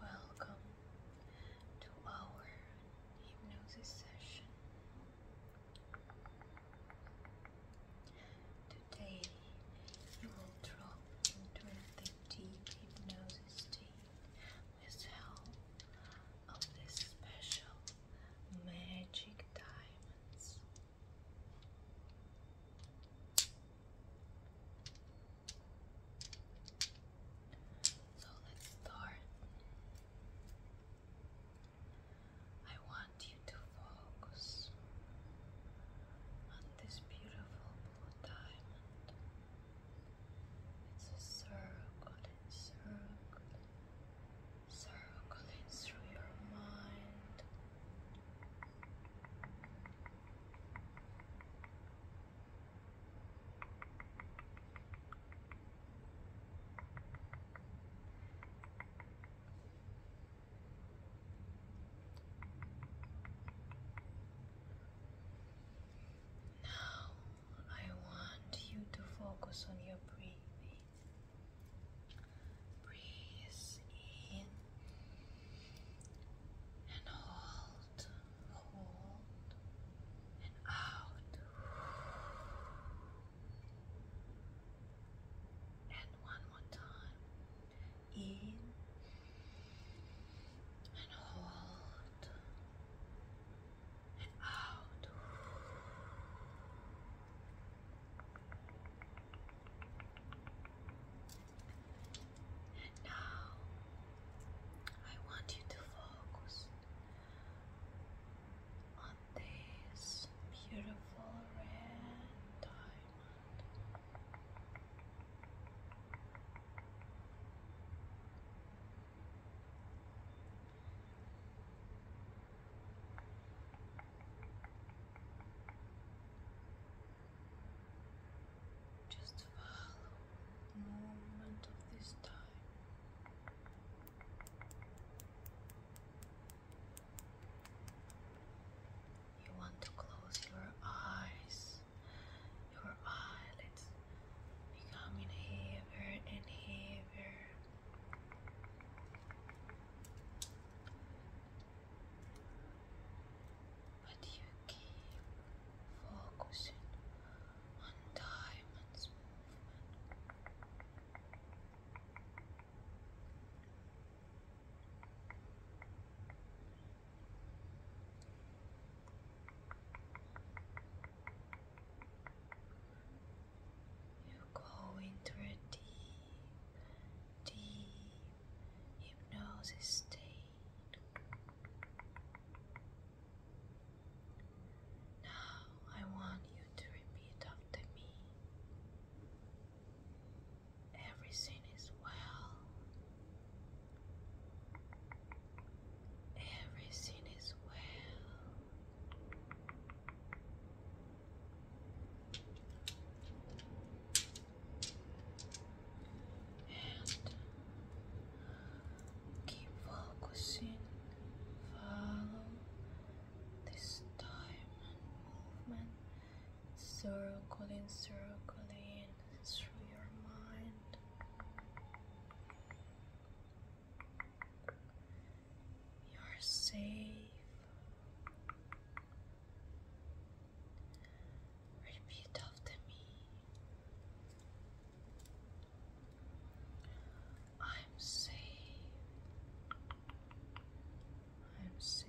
Welcome to our hypnosis session. Today you will drop into the deep hypnosis state with help of these special magic diamonds. So let's start. I want you to focus on this beautiful blue diamond. It's a circle and circle, circling through your mind. Now I want you to focus on your breathing. Breathe in and hold out, hold, and out. And one more time. In and hold and out. And now I want you to focus on this beautiful red diamond. Just follow the movement of this time. You want to close your eyes, your eyelids becoming heavier and heavier you keep focusing on diamonds movement. You go into a deep, deep hypnosis state. Now I want you to repeat after me. Everything is well. Everything is well. And keep focusing, follow this time and movement, circling, circling through your mind. You're safe. Repeat after me. I'm safe. I'm safe.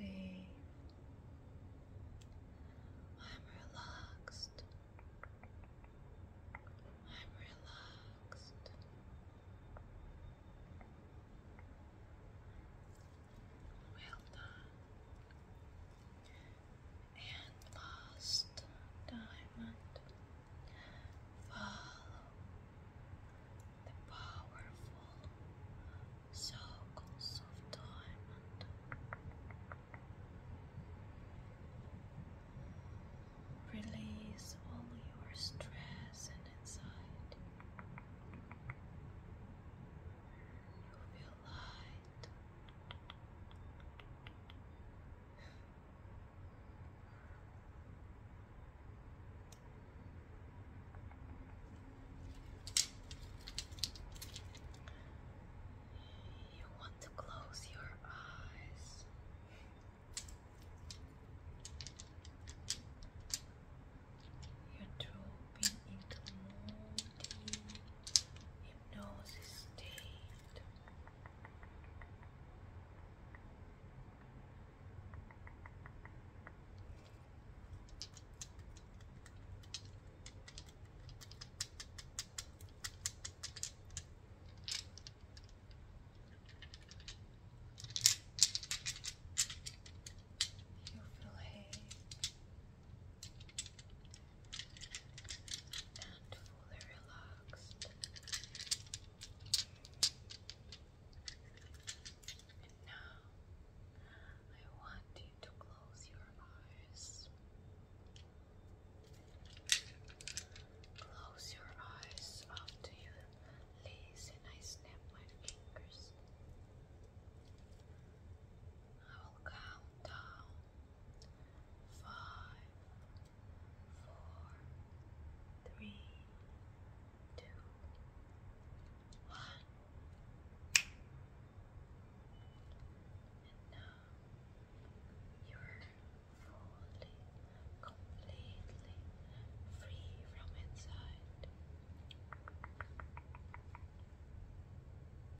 I'm relaxed. I'm relaxed. Well and lost diamond follow the powerful circles of diamond release all your stress and inside. you will light. You want to close your eyes. You're dropping into more hypnosis state. You feel hay and fully relaxed now I want you to close your eyes close your eyes after you lace and I snap my fingers I will count down five, four, three, two, one. And now you're fully, completely free from inside.